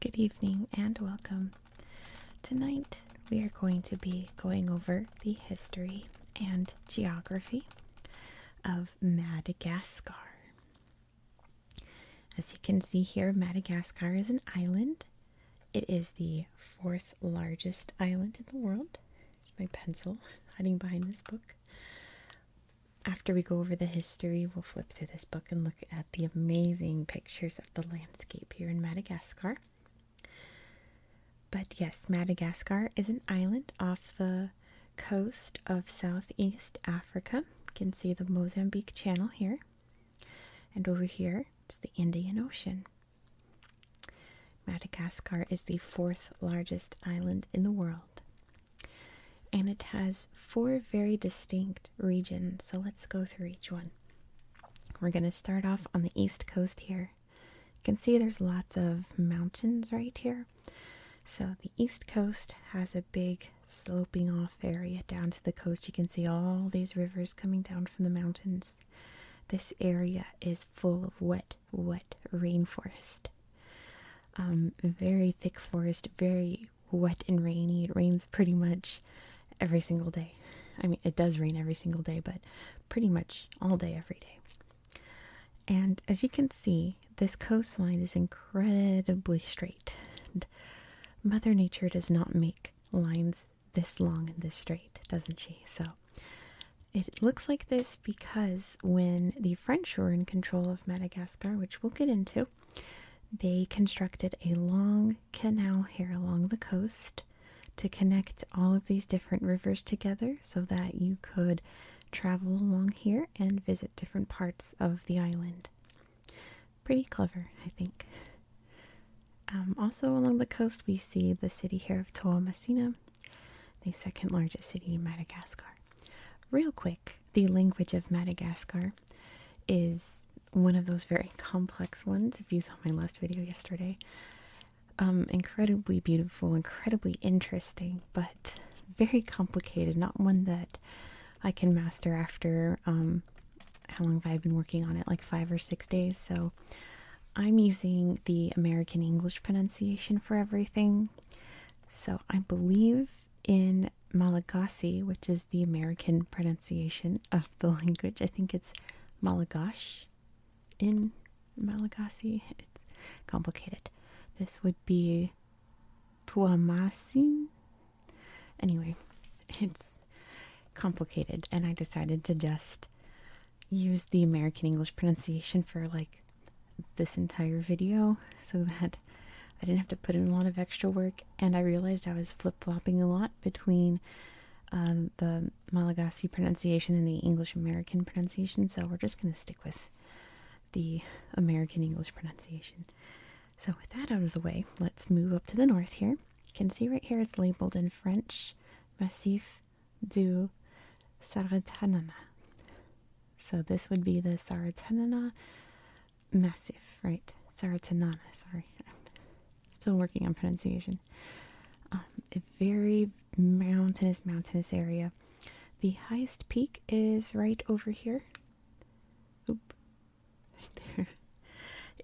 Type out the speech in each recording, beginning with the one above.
Good evening and welcome. Tonight we are going to be going over the history and geography of Madagascar. As you can see here, Madagascar is an island. It is the fourth largest island in the world. My pencil hiding behind this book. After we go over the history, we'll flip through this book and look at the amazing pictures of the landscape here in Madagascar. But yes, Madagascar is an island off the coast of Southeast Africa. You can see the Mozambique Channel here. And over here, it's the Indian Ocean. Madagascar is the fourth largest island in the world. And it has four very distinct regions. So let's go through each one. We're going to start off on the east coast here. You can see there's lots of mountains right here. So the east coast has a big sloping off area down to the coast. You can see all these rivers coming down from the mountains. This area is full of wet, wet rainforest. Um, very thick forest, very wet and rainy. It rains pretty much every single day. I mean, it does rain every single day, but pretty much all day, every day. And as you can see, this coastline is incredibly straight. Mother Nature does not make lines this long and this straight, doesn't she? So it looks like this because when the French were in control of Madagascar, which we'll get into, they constructed a long canal here along the coast to connect all of these different rivers together so that you could travel along here and visit different parts of the island pretty clever, I think. Um, also, along the coast, we see the city here of Toamasina, the second largest city in Madagascar. Real quick, the language of Madagascar is one of those very complex ones. If you saw my last video yesterday, um, incredibly beautiful, incredibly interesting, but very complicated, not one that I can master after um how long have I been working on it? Like five or six days. So I'm using the American English pronunciation for everything. So I believe in Malagasy, which is the American pronunciation of the language. I think it's Malagash in Malagasy. It's complicated. This would be Tuamasin Anyway, it's complicated, and I decided to just use the American English pronunciation for like this entire video so that I didn't have to put in a lot of extra work. And I realized I was flip flopping a lot between um, the Malagasy pronunciation and the English American pronunciation, so we're just going to stick with the American English pronunciation. So, with that out of the way, let's move up to the north here. You can see right here it's labeled in French Massif du Saratanana. So, this would be the Saratanana Massif, right? Saratanana, sorry. Still working on pronunciation. Um, a very mountainous, mountainous area. The highest peak is right over here. Oop, there.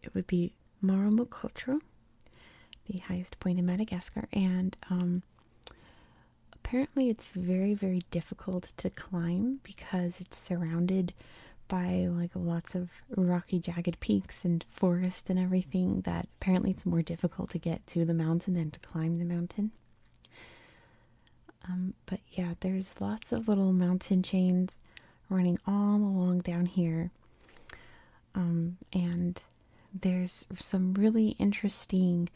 It would be Moromokotro, the highest point in Madagascar, and um, apparently it's very, very difficult to climb because it's surrounded by like lots of rocky, jagged peaks and forest and everything. That apparently it's more difficult to get to the mountain than to climb the mountain. Um, but yeah, there's lots of little mountain chains running all along down here. Um, and there's some really interesting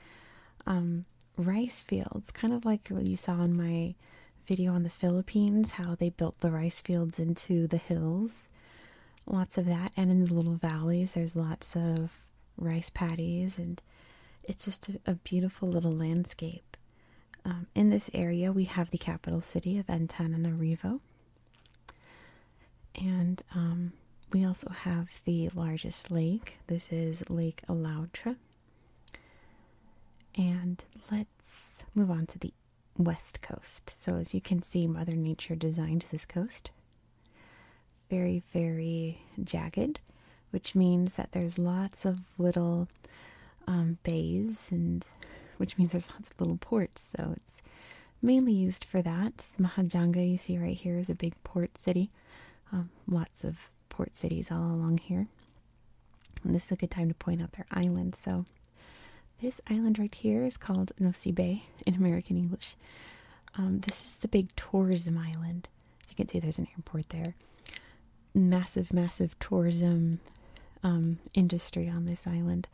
um, rice fields, kind of like what you saw in my video on the Philippines, how they built the rice fields into the hills. Lots of that. And in the little valleys, there's lots of rice paddies, and it's just a beautiful little landscape. Um, in this area, we have the capital city of Antananarivo, and um, we also have the largest lake. This is Lake Alautra. And let's move on to the west coast. So, as you can see, Mother Nature designed this coast. Very, very jagged which means that there's lots of little um, bays, and which means there's lots of little ports. So it's mainly used for that. Mahajanga, you see right here, is a big port city. Um, lots of port cities all along here. And this is a good time to point out their islands. So this island right here is called Nosy Bay in American English. Um, this is the big tourism island. As you can see, there's an airport there massive, massive tourism um, industry on this island.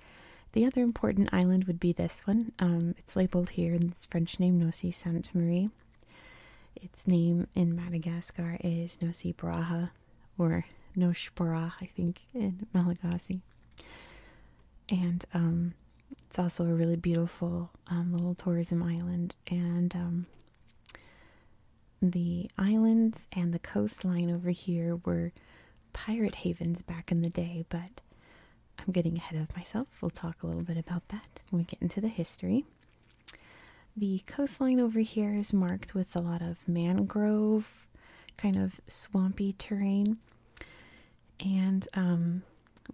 The other important island would be this one. Um, it's labeled here in its French name, Nosy Sainte Marie. Its name in Madagascar is Nosy Baraha or Nosh Barah, I think, in Malagasy. And um, it's also a really beautiful little tourism island. And the islands and the coastline over here were pirate havens back in the day, but I'm getting ahead of myself. We'll talk a little bit about that when we get into the history. The coastline over here is marked with a lot of mangrove, kind of swampy terrain. And um,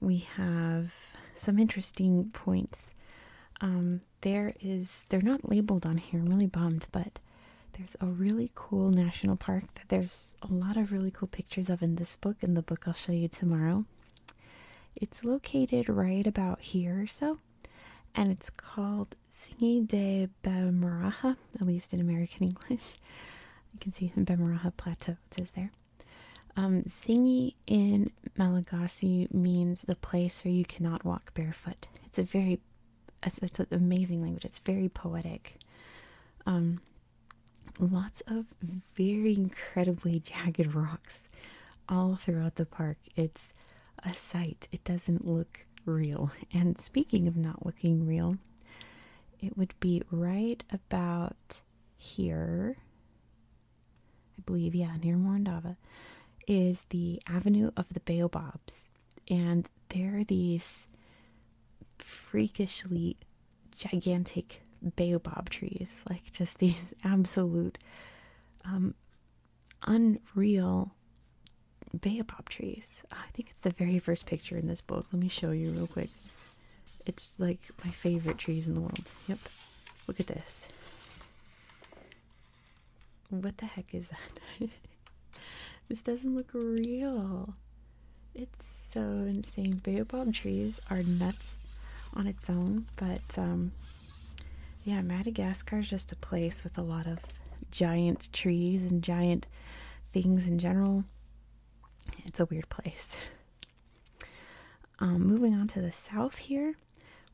we have some interesting points. Um, there is they're not labeled on here. I'm really bummed, but there's a really cool national park that there's a lot of really cool pictures of in this book and the book I'll show you tomorrow. It's located right about here or so, and it's called Singi de Bemaraha, at least in American English. You can see Bemaraha Plateau, says there. Um, Singi in Malagasy means the place where you cannot walk barefoot. It's a very, it's, an amazing language. It's very poetic. Um, lots of very incredibly jagged rocks all throughout the park. It's a sight. It doesn't look real. And speaking of not looking real, it would be right about here. I believe, yeah, near Morondava, is the Avenue of the Baobabs. And there are these freakishly gigantic baobab trees, like just these absolute, um, unreal baobab trees. Ah, I think it's the very first picture in this book. Let me show you real quick. It's like my favorite trees in the world. Yep. Look at this. What the heck is that? this doesn't look real. It's so insane. Baobab trees are nuts on its own, but um, yeah, Madagascar is just a place with a lot of giant trees and giant things in general. It's a weird place. Um, moving on to the south here,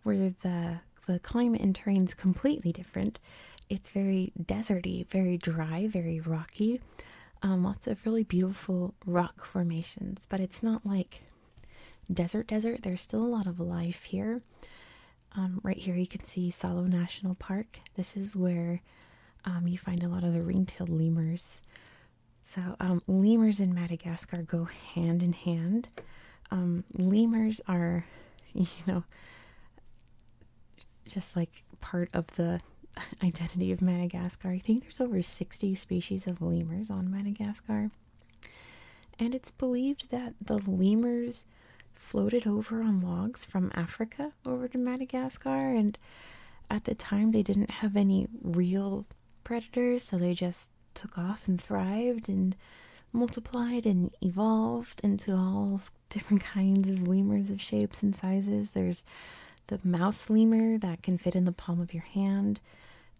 where the the climate and terrain is completely different. It's very deserty, very dry, very rocky. Um, lots of really beautiful rock formations, but it's not like desert desert. There's still a lot of life here. Um, right here you can see Salo National Park. This is where you find a lot of the ring-tailed lemurs. So lemurs in Madagascar go hand in hand. Um, lemurs are, you know, just like part of the identity of Madagascar. I think there's over 60 species of lemurs on Madagascar. And it's believed that the lemurs floated over on logs from Africa over to Madagascar. And at the time, they didn't have any real predators, so they just took off and thrived and multiplied and evolved into all different kinds of lemurs of shapes and sizes. There's the mouse lemur that can fit in the palm of your hand.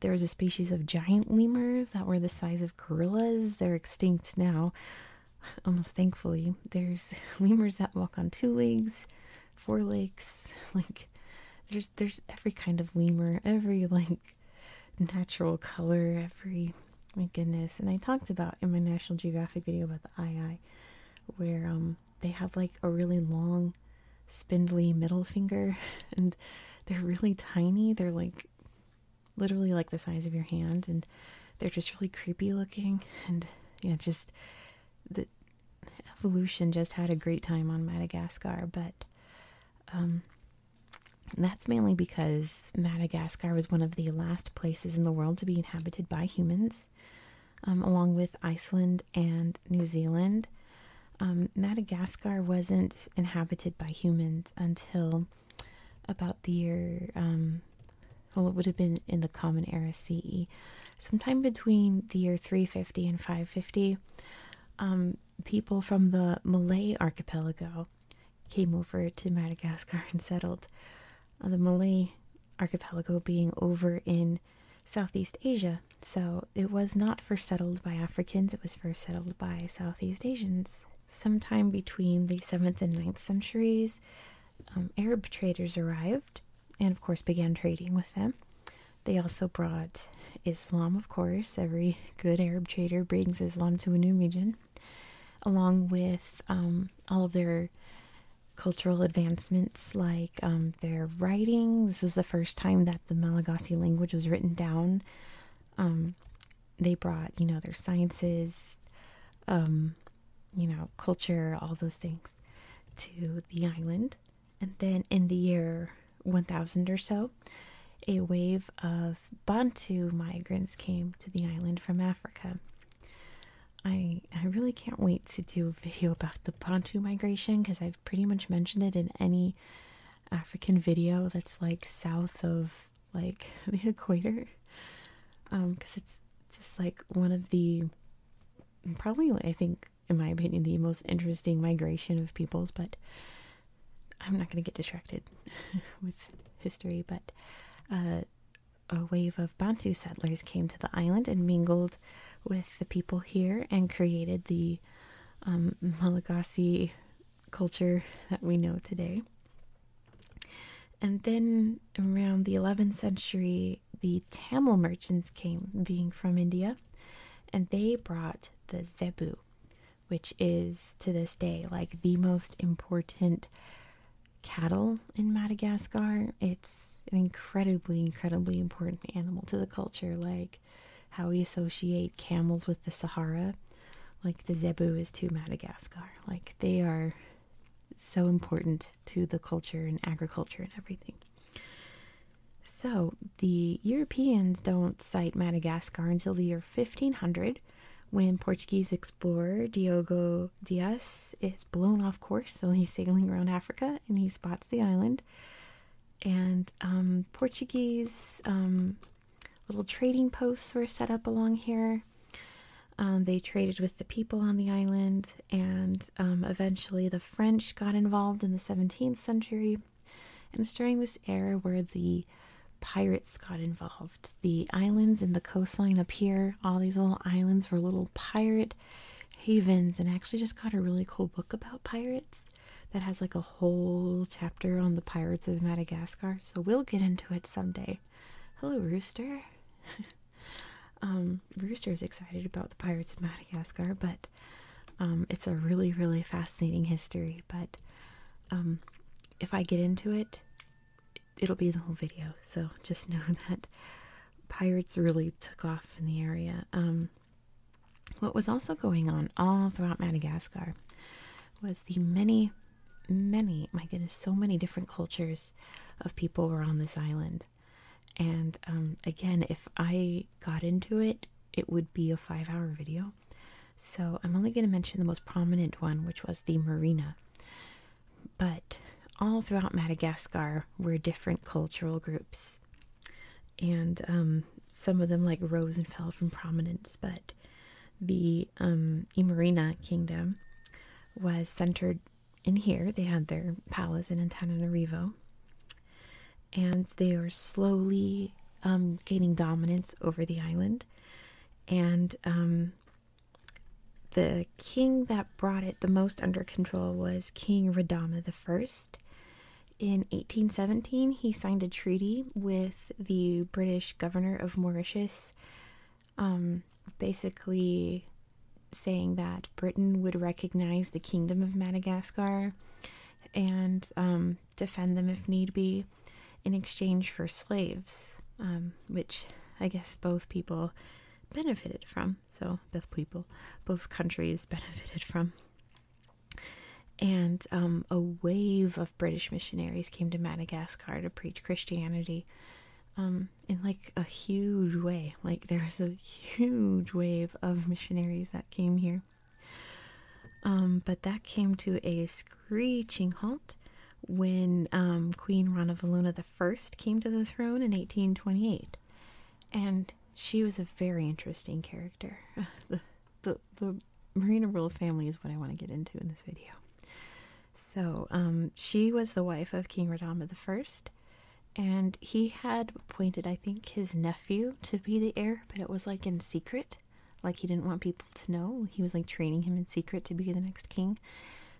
There's a species of giant lemurs that were the size of gorillas. They're extinct now, almost thankfully. There's lemurs that walk on two legs, four legs, like there's there's every kind of lemur, every like natural color every my goodness and i talked about in my national geographic video about the ii where um they have like a really long spindly middle finger and they're really tiny they're like literally like the size of your hand and they're just really creepy looking and yeah just the evolution just had a great time on madagascar but um and that's mainly because Madagascar was one of the last places in the world to be inhabited by humans, um, along with Iceland and New Zealand. Um, Madagascar wasn't inhabited by humans until about the year, um, well, it would have been in the Common Era CE, sometime between the year 350 and 550 people from the Malay archipelago came over to Madagascar and settled. Uh, the Malay archipelago being over in Southeast Asia. So it was not first settled by Africans, it was first settled by Southeast Asians. Sometime between the 7th and 9th centuries, um, Arab traders arrived and, of course, began trading with them. They also brought Islam, of course. Every good Arab trader brings Islam to a new region, along with um, all of their cultural advancements like um, their writing. This was the first time that the Malagasy language was written down. Um, they brought, you know, their sciences, you know, culture, all those things to the island. And then in the year 1000 or so, a wave of Bantu migrants came to the island from Africa. I I really can't wait to do a video about the Bantu migration because I've pretty much mentioned it in any African video that's like south of like the equator. because um, it's just like one of the probably I think in my opinion the most interesting migration of peoples, but I'm not going to get distracted with history, but uh, a wave of Bantu settlers came to the island and mingled with the people here and created the um, Malagasy culture that we know today. And then around the 11th century, the Tamil merchants came, being from India, and they brought the Zebu, which is to this day like the most important cattle in Madagascar. It's an incredibly, incredibly important animal to the culture, like how we associate camels with the Sahara, like the zebu is to Madagascar. Like they are so important to the culture and agriculture and everything. So, the Europeans don't sight Madagascar until the year 1500 when Portuguese explorer Diogo Dias is blown off course, so he's sailing around Africa and he spots the island. And um, Portuguese um, little trading posts were set up along here. Um, they traded with the people on the island, and eventually the French got involved in the 17th century. And it's during this era where the pirates got involved. The islands and the coastline up here, all these little islands were little pirate havens. And I actually just got a really cool book about pirates that has like a whole chapter on the pirates of Madagascar. So we'll get into it someday. Hello, Rooster. um, Rooster is excited about the pirates of Madagascar, but um, it's a really, really fascinating history, but um, if I get into it, it'll be the whole video. So just know that pirates really took off in the area. Um, what was also going on all throughout Madagascar was the many, many, my goodness, so many different cultures of people were on this island. And again, if I got into it, it would be a five hour video. So I'm only going to mention the most prominent one, which was the marina. But all throughout Madagascar were different cultural groups. And um, some of them like rose and fell from prominence, but the um, Imarina kingdom was centered in here. They had their palace in Antananarivo and they are slowly um, gaining dominance over the island. And um, the king that brought it the most under control was King Radama I. In 1817, he signed a treaty with the British governor of Mauritius, um, basically saying that Britain would recognize the Kingdom of Madagascar and defend them if need be in exchange for slaves, um, which I guess both people benefited from. So, both people, both countries benefited from. And um, a wave of British missionaries came to Madagascar to preach Christianity um, in like a huge way. Like, there was a huge wave of missionaries that came here. Um, but that came to a screeching halt when um, Queen Ranavaluna I came to the throne in 1828. And she was a very interesting character. the, the, Marina royal family is what I want to get into in this video. So, um, she was the wife of King Radama I, and he had appointed, I think, his nephew to be the heir, but it was like in secret. Like he didn't want people to know. He was like training him in secret to be the next king.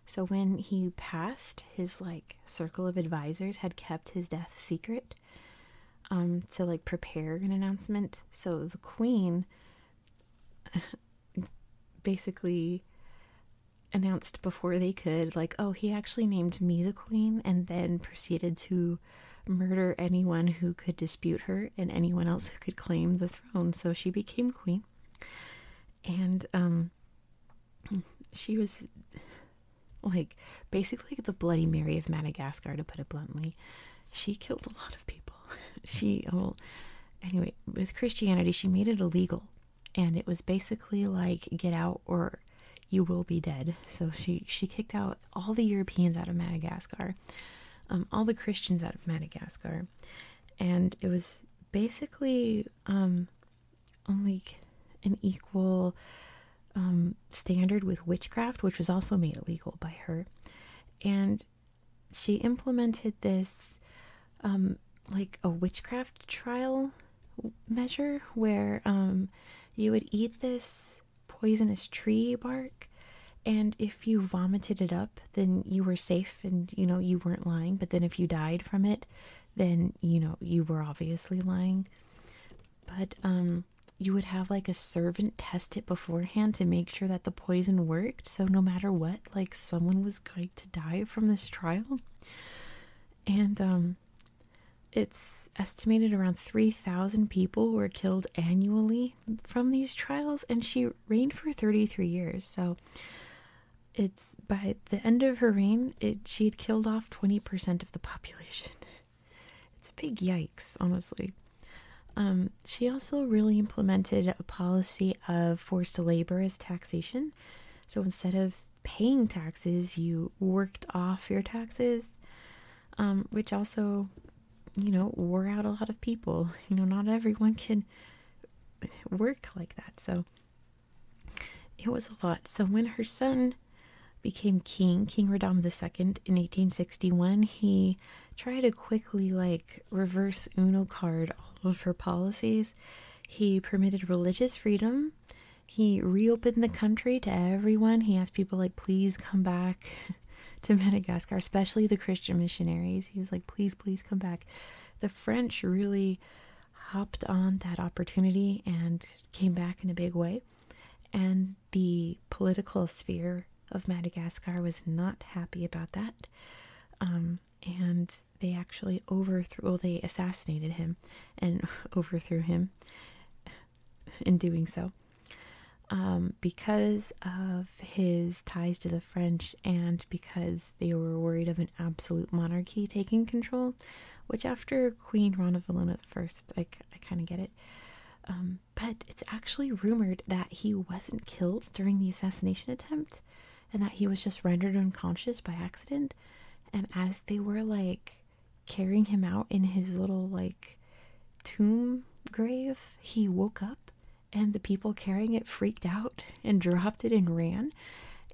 So when he passed, his like circle of advisors had kept his death secret um to like prepare an announcement. So the queen basically announced before they could like, "Oh, he actually named me the queen," and then proceeded to murder anyone who could dispute her and anyone else who could claim the throne. So she became queen. And um she was like basically the Bloody Mary of Madagascar to put it bluntly. She killed a lot of people. she oh, anyway, with Christianity she made it illegal and it was basically like get out or you will be dead. So she she kicked out all the Europeans out of Madagascar, um, all the Christians out of Madagascar, and it was basically um, only an equal um, standard with witchcraft, which was also made illegal by her, and she implemented this like a witchcraft trial measure where you would eat this poisonous tree bark and if you vomited it up then you were safe and you know you weren't lying but then if you died from it then you know you were obviously lying but um you would have like a servant test it beforehand to make sure that the poison worked so no matter what like someone was going to die from this trial and um it's estimated around 3,000 people were killed annually from these trials, and she reigned for 33 years. So it's by the end of her reign, she had killed off 20% of the population. It's a big yikes, honestly. Um, she also really implemented a policy of forced labor as taxation. So instead of paying taxes, you worked off your taxes, um, which also you know, wore out a lot of people. You know, not everyone can work like that. So it was a lot. So when her son became king, King Radom the Second in 1861, he tried to quickly like reverse Uno card all of her policies. He permitted religious freedom. He reopened the country to everyone. He asked people like please come back to Madagascar, especially the Christian missionaries. He was like, please, please come back. The French really hopped on that opportunity and came back in a big way. And the political sphere of Madagascar was not happy about that. Um, and they actually overthrew, well, they assassinated him and overthrew him in doing so um, because of his ties to the French and because they were worried of an absolute monarchy taking control, which after Queen Ronavellona I, I kind of get it. Um, but it's actually rumored that he wasn't killed during the assassination attempt and that he was just rendered unconscious by accident. And as they were like carrying him out in his little like tomb grave, he woke up and the people carrying it freaked out and dropped it and ran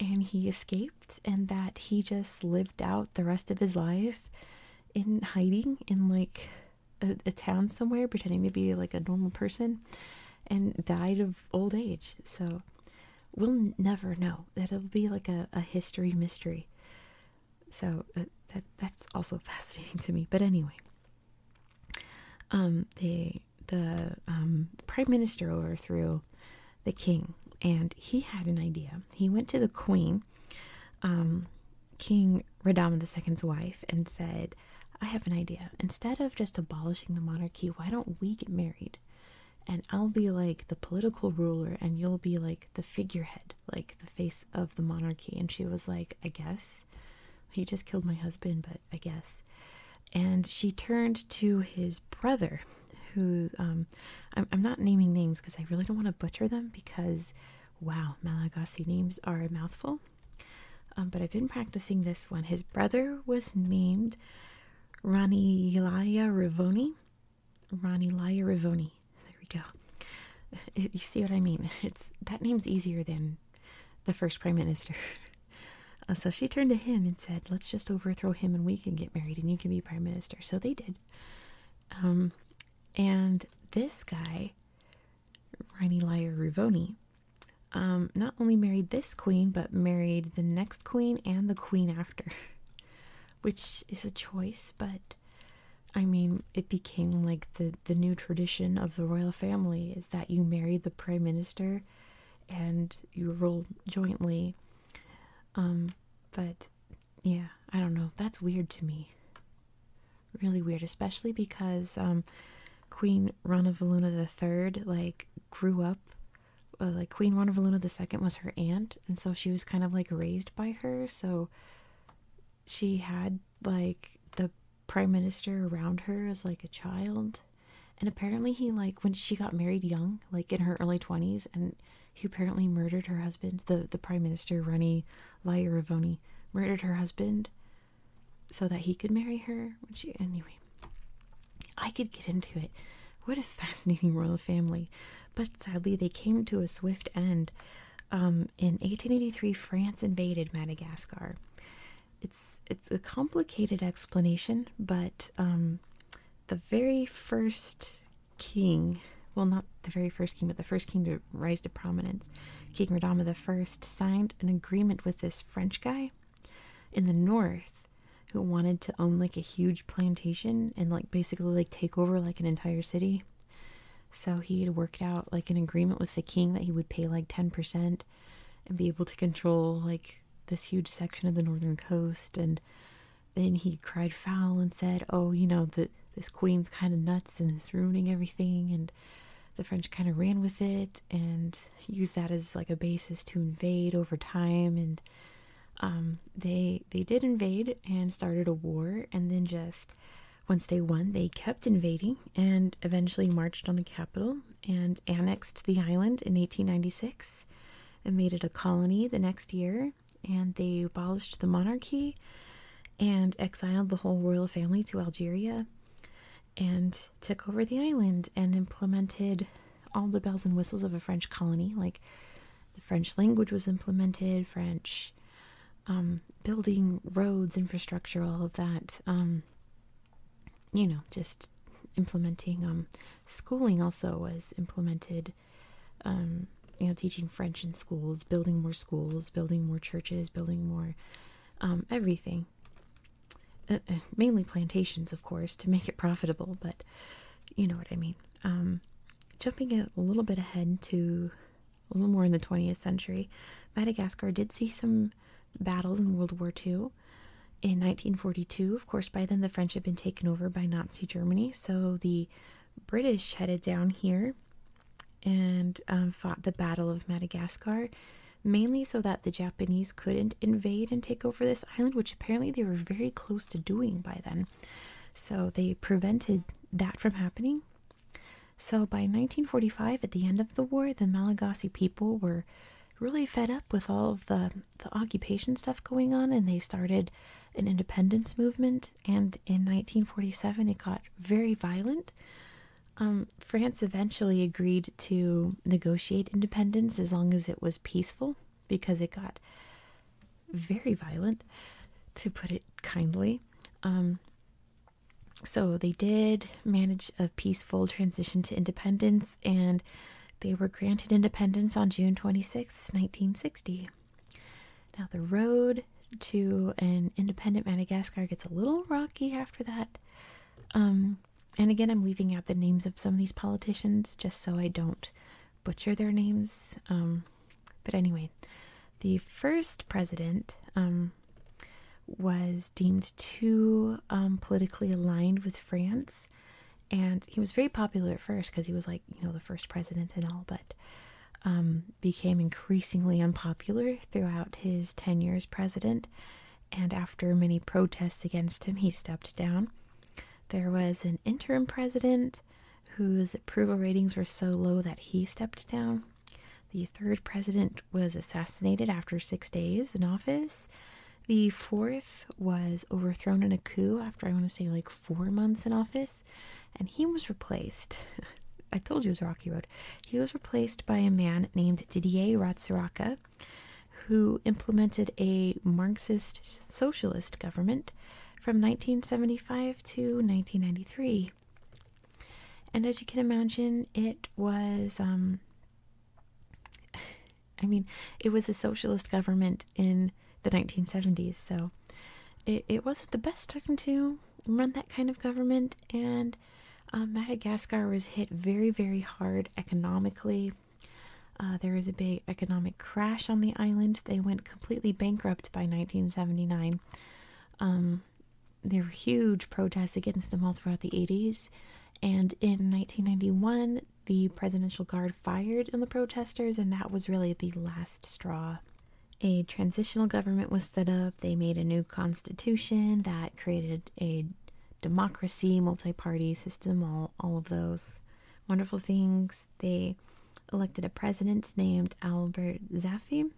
and he escaped and that he just lived out the rest of his life in hiding in like a, town somewhere pretending to be like a normal person and died of old age so we'll never know that'll be like a history mystery so uh, that, that's also fascinating to me. But anyway, um, the the um, prime minister overthrew the king, and he had an idea. He went to the queen, um, King Radama II's wife, and said, "I have an idea. Instead of just abolishing the monarchy, why don't we get married?" And I'll be like the political ruler, and you'll be like the figurehead, like the face of the monarchy. And she was like, I guess he just killed my husband, but I guess. And she turned to his brother, who um, I'm, not naming names because I really don't want to butcher them because wow, Malagasy names are a mouthful. Um, but I've been practicing this one. His brother was named Ranilaya Rivoni. Ranilaya Rivoni. There we go. You see what I mean? It's that name's easier than the first prime minister. Uh, so she turned to him and said, "Let's just overthrow him, and we can get married, and you can be prime minister." So they did. Um, and this guy, Ranilia Ruvoni, um, not only married this queen, but married the next queen and the queen after, which is a choice, but I mean, it became like the the new tradition of the royal family is that you marry the prime minister and you rule jointly. Um, but yeah, I don't know. That's weird to me. Really weird, especially because um, Queen Ranavaluna III like grew up. Uh, like Queen Ranavaluna II was her aunt, and so she was kind of like raised by her. So she had like the prime minister around her as like a child and apparently he like when she got married young like in her early 20s and he apparently murdered her husband the the prime minister Rani Layaravoni murdered her husband so that he could marry her she anyway I could get into it what a fascinating royal family but sadly they came to a swift end um in 1883, France invaded Madagascar. It's it's a complicated explanation, but um, the very first king, well, not the very first king, but the first king to rise to prominence, King Radama I, signed an agreement with this French guy in the north who wanted to own like a huge plantation and like basically like take over like an entire city so he had worked out like an agreement with the king that he would pay like 10% and be able to control like this huge section of the northern coast. And then he cried foul and said, Oh, you know, that this queen's kind of nuts and is ruining everything. And the French kind of ran with it and used that as like a basis to invade over time. And um, they they did invade and started a war and then just once they won, they kept invading and eventually marched on the capital and annexed the island in 1896 and made it a colony the next year. And they abolished the monarchy and exiled the whole royal family to Algeria and took over the island and implemented all the bells and whistles of a French colony. Like the French language was implemented, French um, building roads, infrastructure, all of that. Um, you know, just implementing um, schooling also was implemented. you know, teaching French in schools, building more schools, building more churches, building more everything. Uh, uh, mainly plantations, of course, to make it profitable, but you know what I mean. jumping a little bit ahead to a little more in the 20th century, Madagascar did see some battles in World War II. In 1942, of course, by then the French had been taken over by Nazi Germany, so the British headed down here and um, fought the Battle of Madagascar, mainly so that the Japanese couldn't invade and take over this island, which apparently they were very close to doing by then. So they prevented that from happening so by 1945, at the end of the war, the Malagasy people were really fed up with all of the, the occupation stuff going on and they started an independence movement. And in 1947, it got very violent. Um, France eventually agreed to negotiate independence as long as it was peaceful because it got very violent, to put it kindly. Um, so they did manage a peaceful transition to independence, and they were granted independence on June 26, 1960. Now, the road to an independent Madagascar gets a little rocky after that. Um, and again, I'm leaving out the names of some of these politicians just so I don't butcher their names. Um, but anyway, the first president um, was deemed too um, politically aligned with France. And he was very popular at first because he was like, you know, the first president and all, but um, became increasingly unpopular throughout his 10 years president. And after many protests against him, he stepped down. There was an interim president whose approval ratings were so low that he stepped down. The third president was assassinated after six days in office. The fourth was overthrown in a coup after, I want to say, like four months in office. And he was replaced. I told you it was Rocky Road. He was replaced by a man named Didier Ratsiraka, who implemented a Marxist socialist government from 1975 to 1993. And as you can imagine, it was, um, I mean, it was a socialist government in the 1970s, so it, wasn't the best time to run that kind of government. And uh, Madagascar was hit very, very hard economically. Uh, there was a big economic crash on the island. They went completely bankrupt by 1979. Um, there were huge protests against them all throughout the 80s, and in 1991, the Presidential Guard fired on the protesters, and that was really the last straw. A transitional government was set up, they made a new constitution that created a democracy, multi party system, all, all of those wonderful things they elected a president named Albert Zaffi,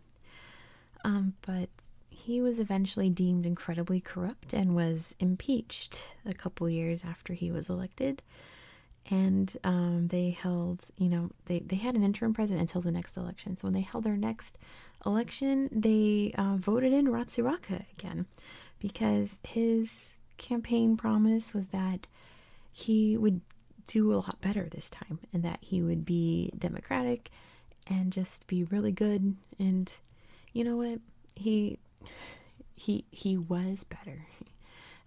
um, but he was eventually deemed incredibly corrupt and was impeached a couple years after he was elected. And um, they held, you know, they, they had an interim president until the next election. So when they held their next election, they uh, voted in Ratsiraka again because his campaign promise was that he would do a lot better this time and that he would be democratic and just be really good and you know what he he he was better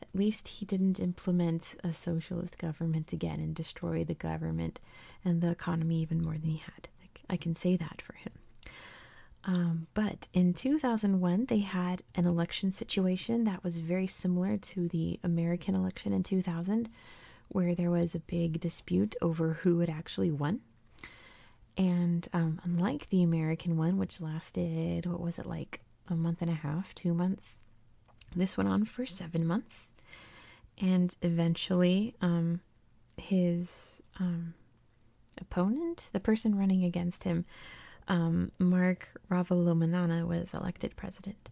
at least he didn't implement a socialist government again and destroy the government and the economy even more than he had i can say that for him um, but in 2001 they had an election situation that was very similar to the american election in 2000 where there was a big dispute over who had actually won. And um, unlike the American one, which lasted, what was it, like a month and a half, two months, this went on for seven months. And eventually, um, his um, opponent, the person running against him, Mark Ravalomanana, was elected president.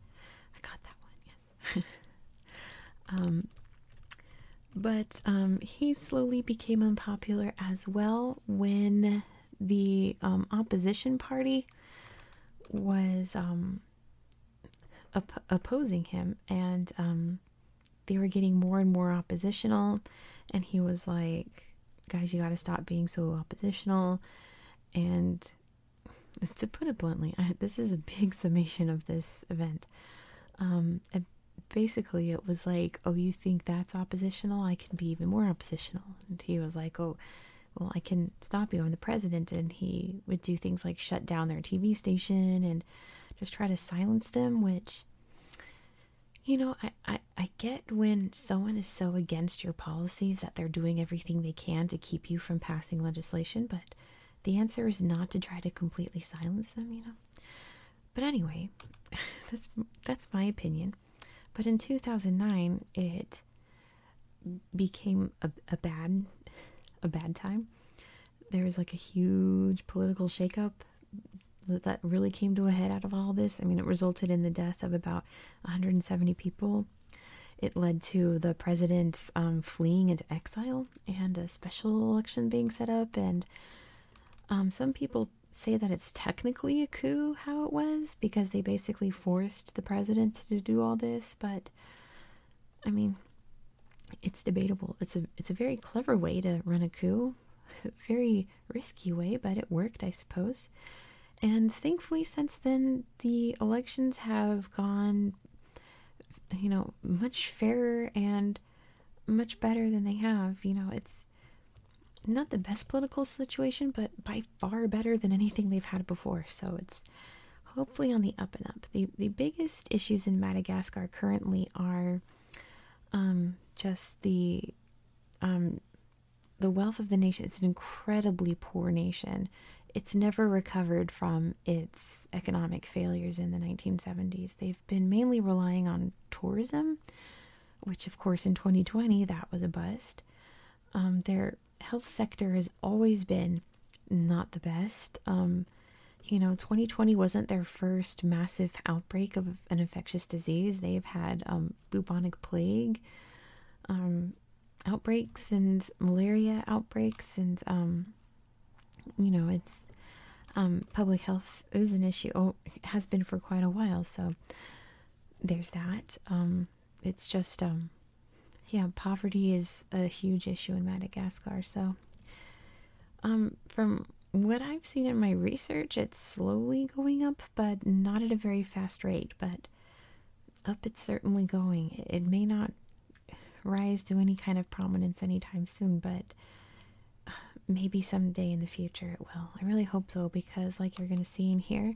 I got that one, yes. Um, but um, he slowly became unpopular as well when the um, opposition party was opposing him, and they were getting more and more oppositional. And he was like, Guys, you got to stop being so oppositional. And to put it bluntly, this is a big summation of this event. Um, and basically, it was like, "Oh, you think that's oppositional? I can be even more oppositional." And he was like, "Oh, well, I can stop you. I'm the president." And he would do things like shut down their TV station and just try to silence them. Which, you know, I I, I get when someone is so against your policies that they're doing everything they can to keep you from passing legislation, but the answer is not to try to completely silence them, you know. But anyway, that's that's my opinion. But in 2009, it became a, a bad a bad time. There was like a huge political shakeup that really came to a head out of all this. I mean, it resulted in the death of about 170 people. It led to the president um, fleeing into exile and a special election being set up. And um, some people say that it's technically a coup how it was because they basically forced the president to do all this. But I mean, it's debatable. It's a it's a very clever way to run a coup, very risky way, but it worked, I suppose. And thankfully, since then, the elections have gone, you know, much fairer and much better than they have. You know, it's not the best political situation, but by far better than anything they've had before. So it's hopefully on the up and up. The, the biggest issues in Madagascar currently are um, just the um, the wealth of the nation it's an incredibly poor nation it's never recovered from its economic failures in the 1970s they've been mainly relying on tourism which of course in 2020 that was a bust um, their health sector has always been not the best um, you know 2020 wasn't their first massive outbreak of an infectious disease they've had um, bubonic plague outbreaks and malaria outbreaks, and um, you know, it's um, public health is an issue. Oh, has been for quite a while. So there's that. Um, it's just yeah, poverty is a huge issue in Madagascar. So from what I've seen in my research, it's slowly going up, but not at a very fast rate. But up it's certainly going. It may not rise to any kind of prominence anytime soon, but maybe someday in the future it will. I really hope so because, like you're going to see in here,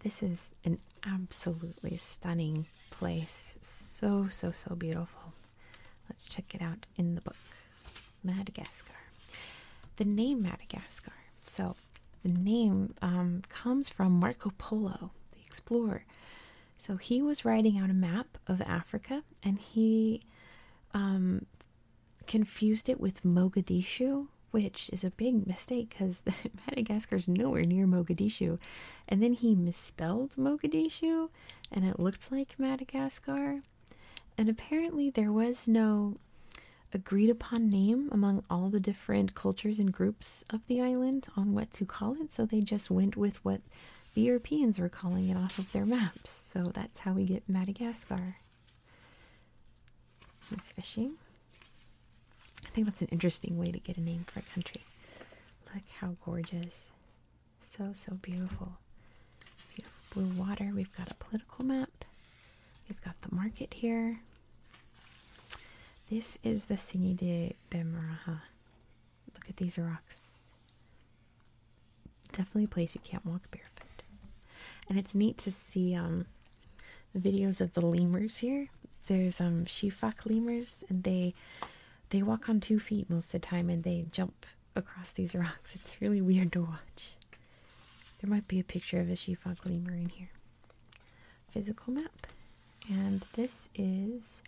this is an absolutely stunning place. So, so, so beautiful. Let's check it out in the book. Madagascar. The name Madagascar so the name um, comes from Marco Polo, the explorer. So he was writing out a map of Africa and he um, confused it with Mogadishu, which is a big mistake because Madagascar is nowhere near Mogadishu. And then he misspelled Mogadishu and it looked like Madagascar. And apparently, there was no agreed upon name among all the different cultures and groups of the island on what to call it, so they just went with what the Europeans were calling it off of their maps. So that's how we get Madagascar. Is fishing. I think that's an interesting way to get a name for a country. Look how gorgeous. So, so beautiful. Beautiful blue water. We've got a political map. We've got the market here. This is the Singi de Bemaraha. Look at these rocks. Definitely a place you can't walk barefoot. And it's neat to see um, videos of the lemurs here. There's um, shifak lemurs, and they they walk on two feet most of the time, and they jump across these rocks. It's really weird to watch. There might be a picture of a shifak lemur in here physical map. And this is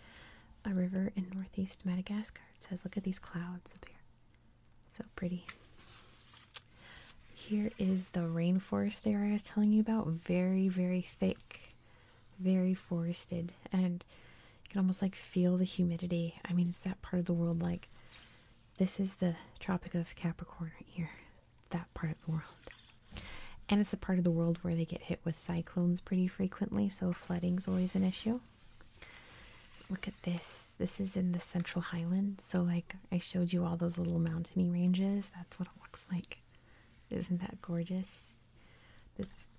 a river in northeast Madagascar. It says, look at these clouds up here. So pretty. Here is the rainforest area I was telling you about. Very, very thick, very forested. And you can almost like feel the humidity. I mean, it's that part of the world like this is the Tropic of Capricorn right here that part of the world. And it's the part of the world where they get hit with cyclones pretty frequently, so flooding's always an issue. Look at this. This is in the Central Highlands. So, like I showed you all those little mountainy ranges, that's what it looks like. Isn't that gorgeous? This,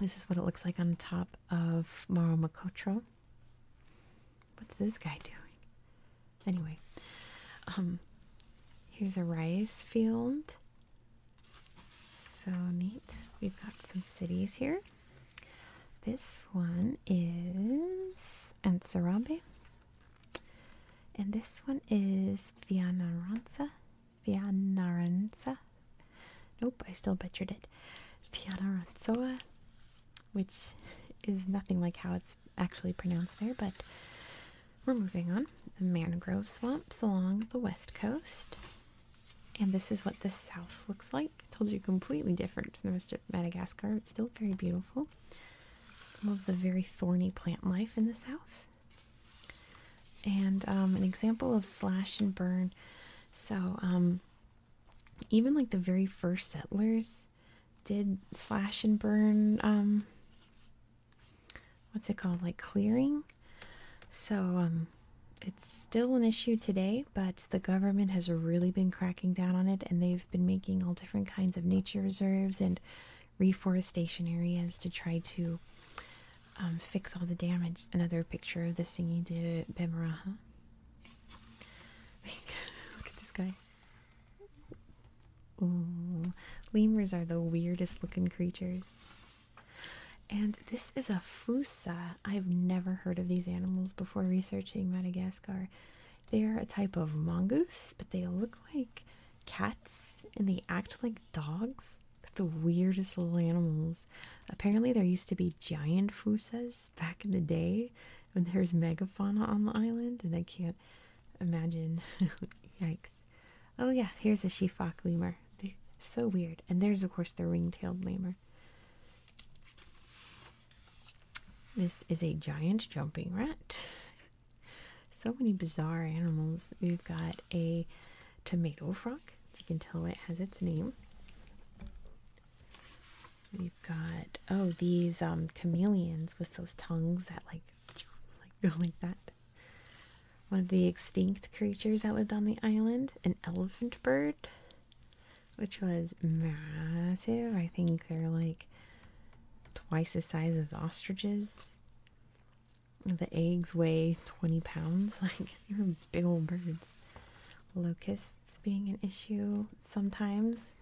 this is what it looks like on top of Moro Makotro. What's this guy doing? Anyway, um, here's a rice field. So neat. We've got some cities here. This one is Ansarambe. And this one is Vianaranza. Vianaranza. Nope, I still butchered it. Vianaranzoa, which is nothing like how it's actually pronounced there, but we're moving on. The mangrove swamps along the west coast. And this is what the south looks like. I told you completely different from the rest of Madagascar. It's still very beautiful. Some of the very thorny plant life in the south. And um, an example of slash and burn. So um, even like the very first settlers did slash and burn um, what's it called like clearing so um, it's still an issue today but the government has really been cracking down on it and they've been making all different kinds of nature reserves and reforestation areas to try to um, fix all the damage another picture of the singing de at Bemaraha. Look at this guy. Ooh, lemurs are the weirdest looking creatures. And this is a fusa. I've never heard of these animals before researching Madagascar. They're a type of mongoose, but they look like cats and they act like dogs. The weirdest little animals. Apparently, there used to be giant fusas back in the day And there's megafauna on the island, and I can't Imagine. Yikes. Oh, yeah, here's a shefock lemur. They're so weird. And there's, of course, the ring tailed lemur. This is a giant jumping rat. So many bizarre animals. We've got a tomato frog. As you can tell, it has its name. We've got, oh, these um, chameleons with those tongues that like like go like that. One of the extinct creatures that lived on the island, an elephant bird, which was massive. I think they're like twice the size of ostriches. The eggs weigh 20 pounds. Like, they were big old birds. Locusts being an issue sometimes.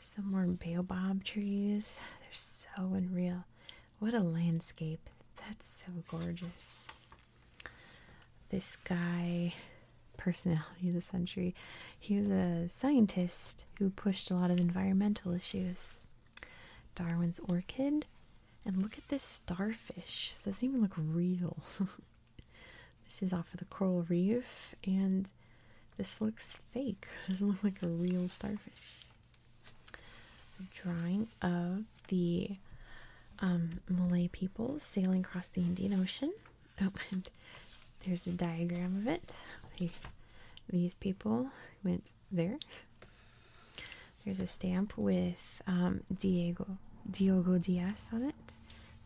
Some more baobab trees. They're so unreal. What a landscape. That's so gorgeous. This guy, personality of the century, he was a scientist who pushed a lot of environmental issues. Darwin's orchid. And look at this starfish. doesn't even look real. this is off of the coral reef, and this looks fake. doesn't look like a real starfish. drawing of the um, Malay people sailing across the Indian Ocean. Oh, and there's a diagram of it. these people went there. There's a stamp with um, Diego Diogo Diaz on it,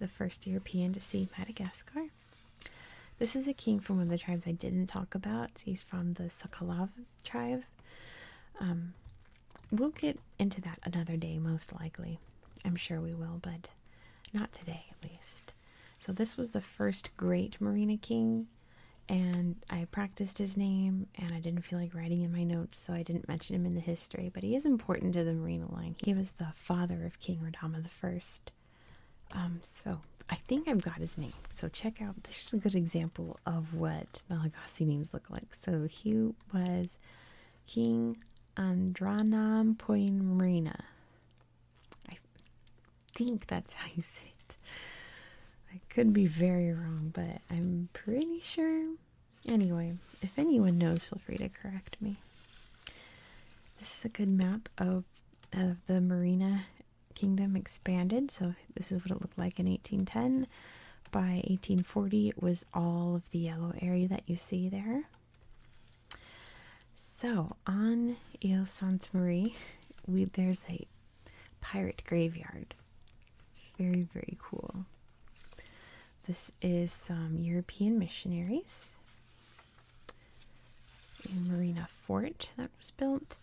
the first European to see Madagascar. This is a king from one of the tribes I didn't talk about. He's from the Sakalav tribe. Um, we'll get into that another day, most likely. I'm sure we will, but not today at least. So, this was the first great Marina King, and I practiced his name, and I didn't feel like writing in my notes, so I didn't mention him in the history. But he is important to the Marina line. He was the father of King Radama I. Um, so I think I've got his name. So check out this is a good example of what Malagasy names look like. So he was King Andranam Marina. I think that's how you say it. I could be very wrong, but I'm pretty sure. Anyway, if anyone knows, feel free to correct me. This is a good map of of the marina kingdom expanded. So this is what it looked like in 1810. By 1840, it was all of the yellow area that you see there. So on Ile Sainte Marie, there's a pirate graveyard. Very, very cool. This is some European missionaries. Marina Fort that was built.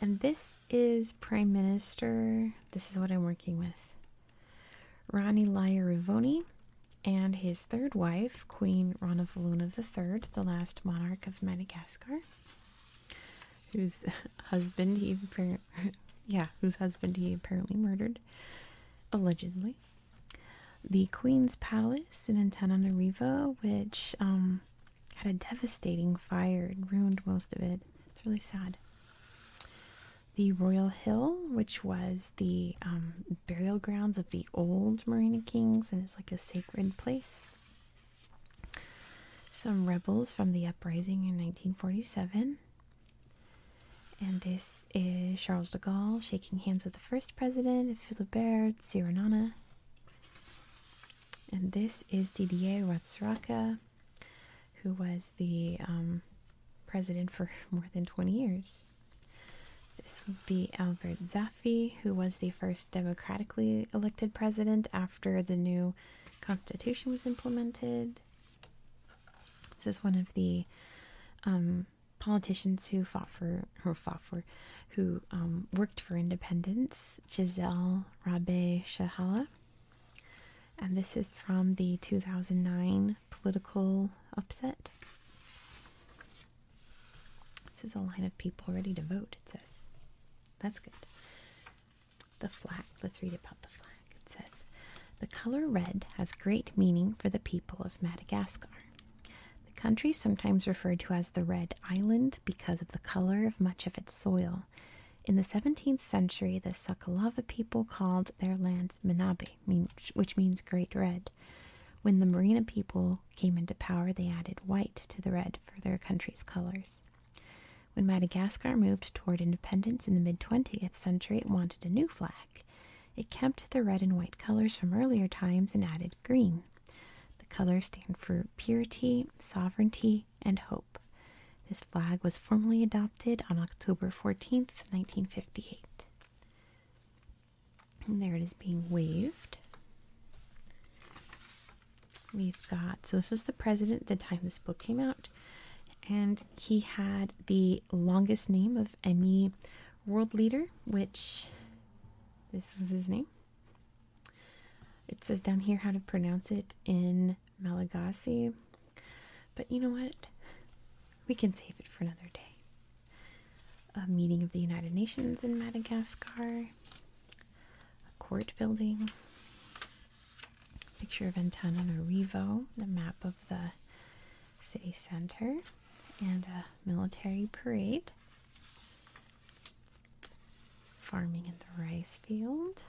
And this is Prime Minister, this is what I'm working with, Ronnie Laya and his third wife, Queen Ranavaluna III, the last monarch of Madagascar, whose husband he yeah, whose husband he apparently murdered, allegedly the Queen's Palace in Antananarivo, which um, had a devastating fire and ruined most of it. It's really sad. The Royal Hill, which was the um, burial grounds of the old Marina Kings and it's like a sacred place. Some rebels from the uprising in 1947. And this is Charles de Gaulle shaking hands with the first president, Philibert Siranana, and this is Didier Ratsiraka, who was the um, president for more than 20 years. This would be Albert Zaffi, who was the first democratically elected president after the new constitution was implemented. This is one of the um, politicians who fought for who fought um, for, who worked for independence, Giselle Rabe Shahala, and this is from the 2009 political upset. This is a line of people ready to vote. It says, "That's good." The flag. Let's read about the flag. It says, "The color red has great meaning for the people of Madagascar." The country is sometimes referred to as the Red Island because of the color of much of its soil. In the 17th century, the Sakalava people called their land Minabe, which means Great Red. When the Marina people came into power, they added white to the red for their country's colors. When Madagascar moved toward independence in the mid 20th century, it wanted a new flag. It kept the red and white colors from earlier times and added green. The colors stand for purity, sovereignty, and hope. This flag was formally adopted on October 14th, 1958. And there it is being waved. We've got, so this was the president at the time this book came out, and he had the longest name of any world leader, which this was his name. It says down here how to pronounce it in Malagasy. But you know what? We can save it for another day. A meeting of the United Nations in Madagascar, a court building, a picture of Antananarivo, the map of the city center, and a military parade farming in the rice field.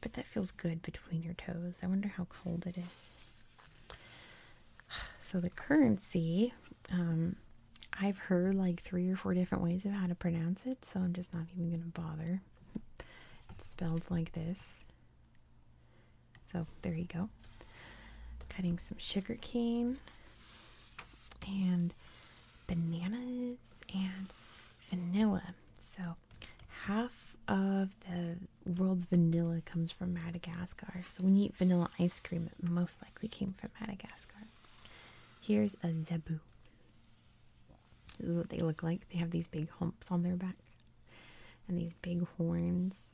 But that feels good between your toes. I wonder how cold it is. So the currency, um, I've heard like three or four different ways of how to pronounce it, so I'm just not even going to bother. It's spelled like this. So there you go cutting some sugar cane and bananas and vanilla. So, half of the world's vanilla comes from Madagascar. So, when you eat vanilla ice cream, it most likely came from Madagascar. Here's a zebu. This is what they look like. They have these big humps on their back and these big horns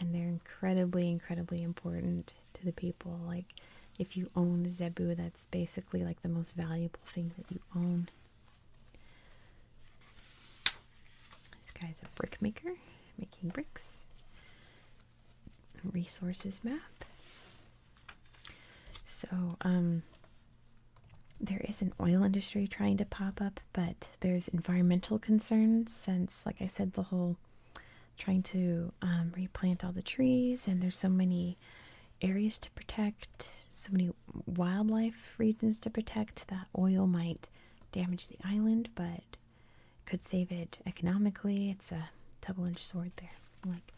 and they're incredibly, incredibly important to the people. Like, if you own Zebu, that's basically like the most valuable thing that you own. This guy's a brick maker, making bricks. Resources map. So, um, there is an oil industry trying to pop up, but there's environmental concerns since, like I said, the whole trying to um, replant all the trees, and there's so many areas to protect, so many wildlife regions to protect that oil might damage the island, but could save it economically. It's a double-edged sword there. Like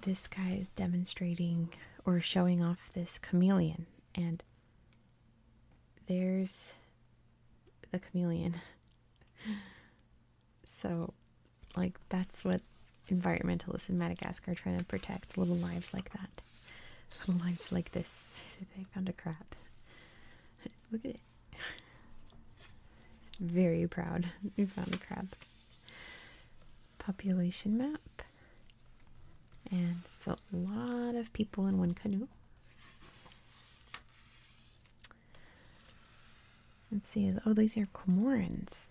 this guy is demonstrating or showing off this chameleon, and there's the chameleon. so, like, that's what environmentalists in Madagascar are trying to protect little lives like that. Little lives like this. they found a crab. Look at it. Very proud. We found a crab. Population map. And it's a lot of people in one canoe. Let's see. Oh, these are Comorans.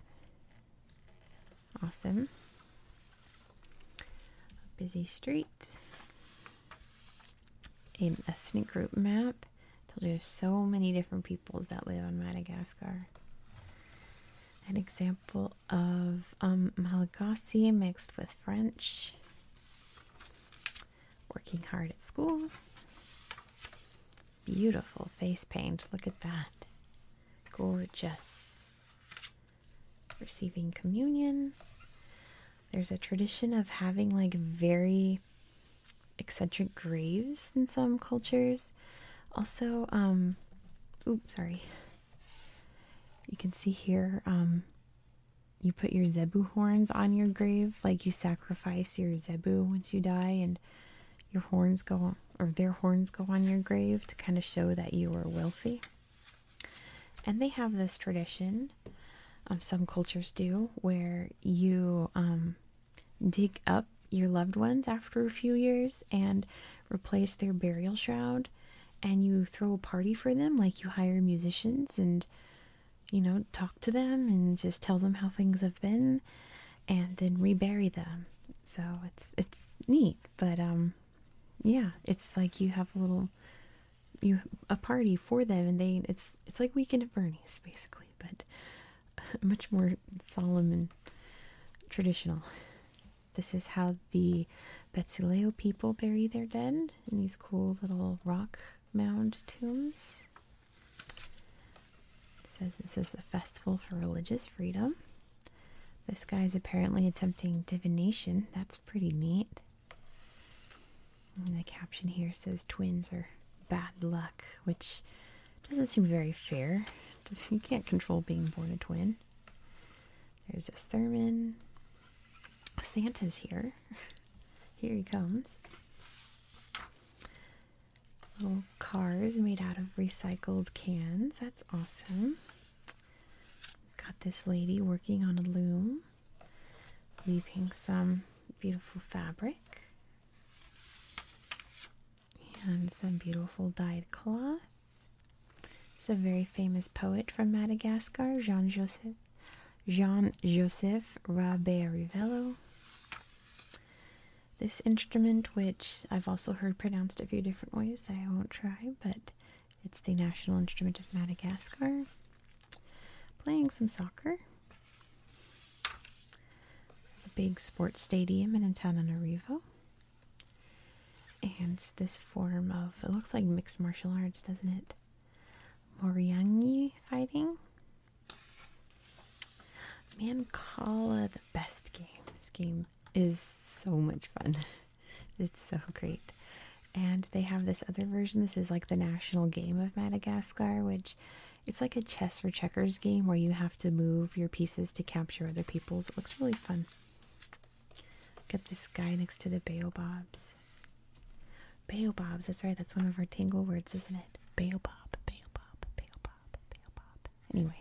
Awesome. A busy street. An ethnic group map. I told you there's so many different peoples that live on Madagascar. An example of um, Malagasy mixed with French working hard at school. Beautiful face paint. Look at that. Gorgeous. Receiving communion. There's a tradition of having like very eccentric graves in some cultures. Also, um, oops, sorry. You can see here um, you put your zebu horns on your grave, like you sacrifice your zebu once you die, and your horns go or their horns go on your grave to kind of show that you were wealthy. And they have this tradition, of um, some cultures do, where you um, dig up your loved ones after a few years and replace their burial shroud, and you throw a party for them, like you hire musicians and you know, talk to them and just tell them how things have been and then rebury them. So it's it's neat, but um yeah, it's like you have a little you a party for them and they it's it's like weekend at Bernie's basically, but much more solemn and traditional. This is how the Betsileo people bury their dead around in these cool little rock mound tombs. says this is a Festival for Religious Freedom. This guy's apparently attempting divination. That's pretty neat. the caption here says twins are bad luck, which doesn't seem very fair. you can't control being born a twin. There's this Thurman. Santa's here. Here he comes. Little cars made out of recycled cans. That's awesome. Got this lady working on a loom, weaving some beautiful fabric and some beautiful dyed cloth. It's a very famous poet from Madagascar, Jean Joseph Jean-Joseph Rabert Rivello. This instrument, which I've also heard pronounced a few different ways, I won't try, but it's the national instrument of Madagascar. Playing some soccer. The big sports stadium in Antananarivo. And this form of, it looks like mixed martial arts, doesn't it? Moriyangi fighting. Mancala, the best game. This game is so much fun. It's so great. And they have this other version. This is like the national game of Madagascar, which it's like a chess or checkers game where you have to move your pieces to capture other people's. It looks really fun. Got this guy next to the baobabs. Baobabs, that's right, that's one of our tingle words, isn't it? Baobab, baobab, baobab, baobab. Anyway,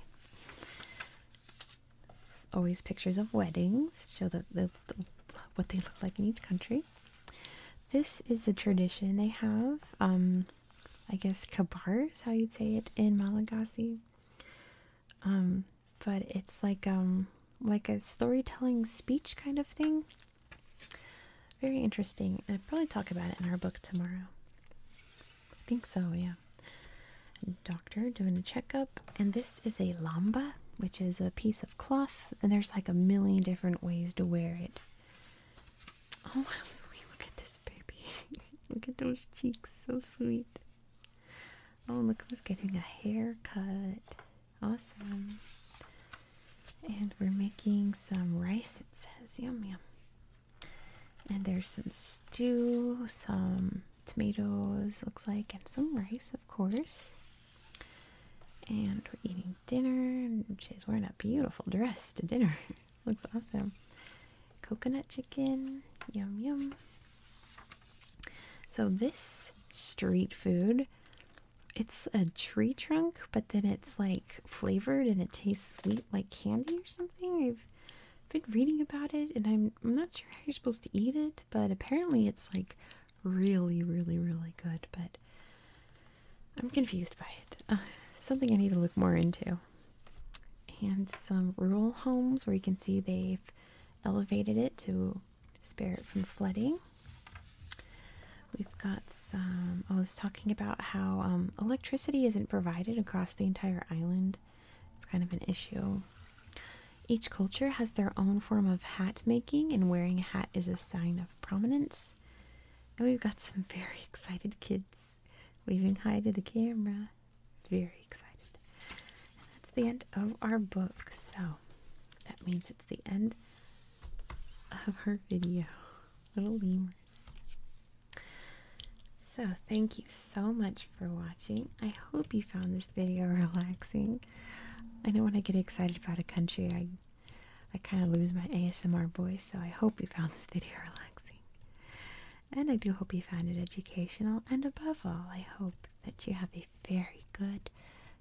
always pictures of weddings show the, what they look like in each country. This is the tradition they have. Um, I guess kabars. how you'd say it in Malagasy. Um, but it's like um, like a storytelling speech kind of thing. Very interesting. i probably talk about it in our book tomorrow. I think so, yeah. Doctor doing a checkup, and this is a lamba, which is a piece of cloth, and there's like a million different ways to wear it. Oh, how sweet! Look at this baby. look at those cheeks, so sweet. Oh, look who's getting a haircut. Awesome. And we're making some rice, it says. Yum, yum. And there's some stew, some tomatoes, looks like, and some rice, of course. And we're eating dinner. And she's wearing a beautiful dress to dinner. looks awesome. Coconut chicken. Yum, yum. So, this street food it's a tree trunk, but then it's like flavored and it tastes sweet like candy or something. I've been reading about it and I'm, not sure how you're supposed to eat it, but apparently it's like really, really, really good. But I'm confused by it. Uh, something I need to look more into. And some rural homes where you can see they've elevated it to Spirit from Flooding. We've got some, oh, I was talking about how um, electricity isn't provided across the entire island. It's kind of an issue. Each culture has their own form of hat making, and wearing a hat is a sign of prominence. And we've got some very excited kids waving hi to the camera. Very excited that's the end of our book. So that means it's the end of her video. Little lemurs. So thank you so much for watching. I hope you found this video relaxing. I know when I get excited about a country, I I kind of lose my ASMR voice, so I hope you found this video relaxing. And I do hope you found it educational, and above all, I hope that you have a very good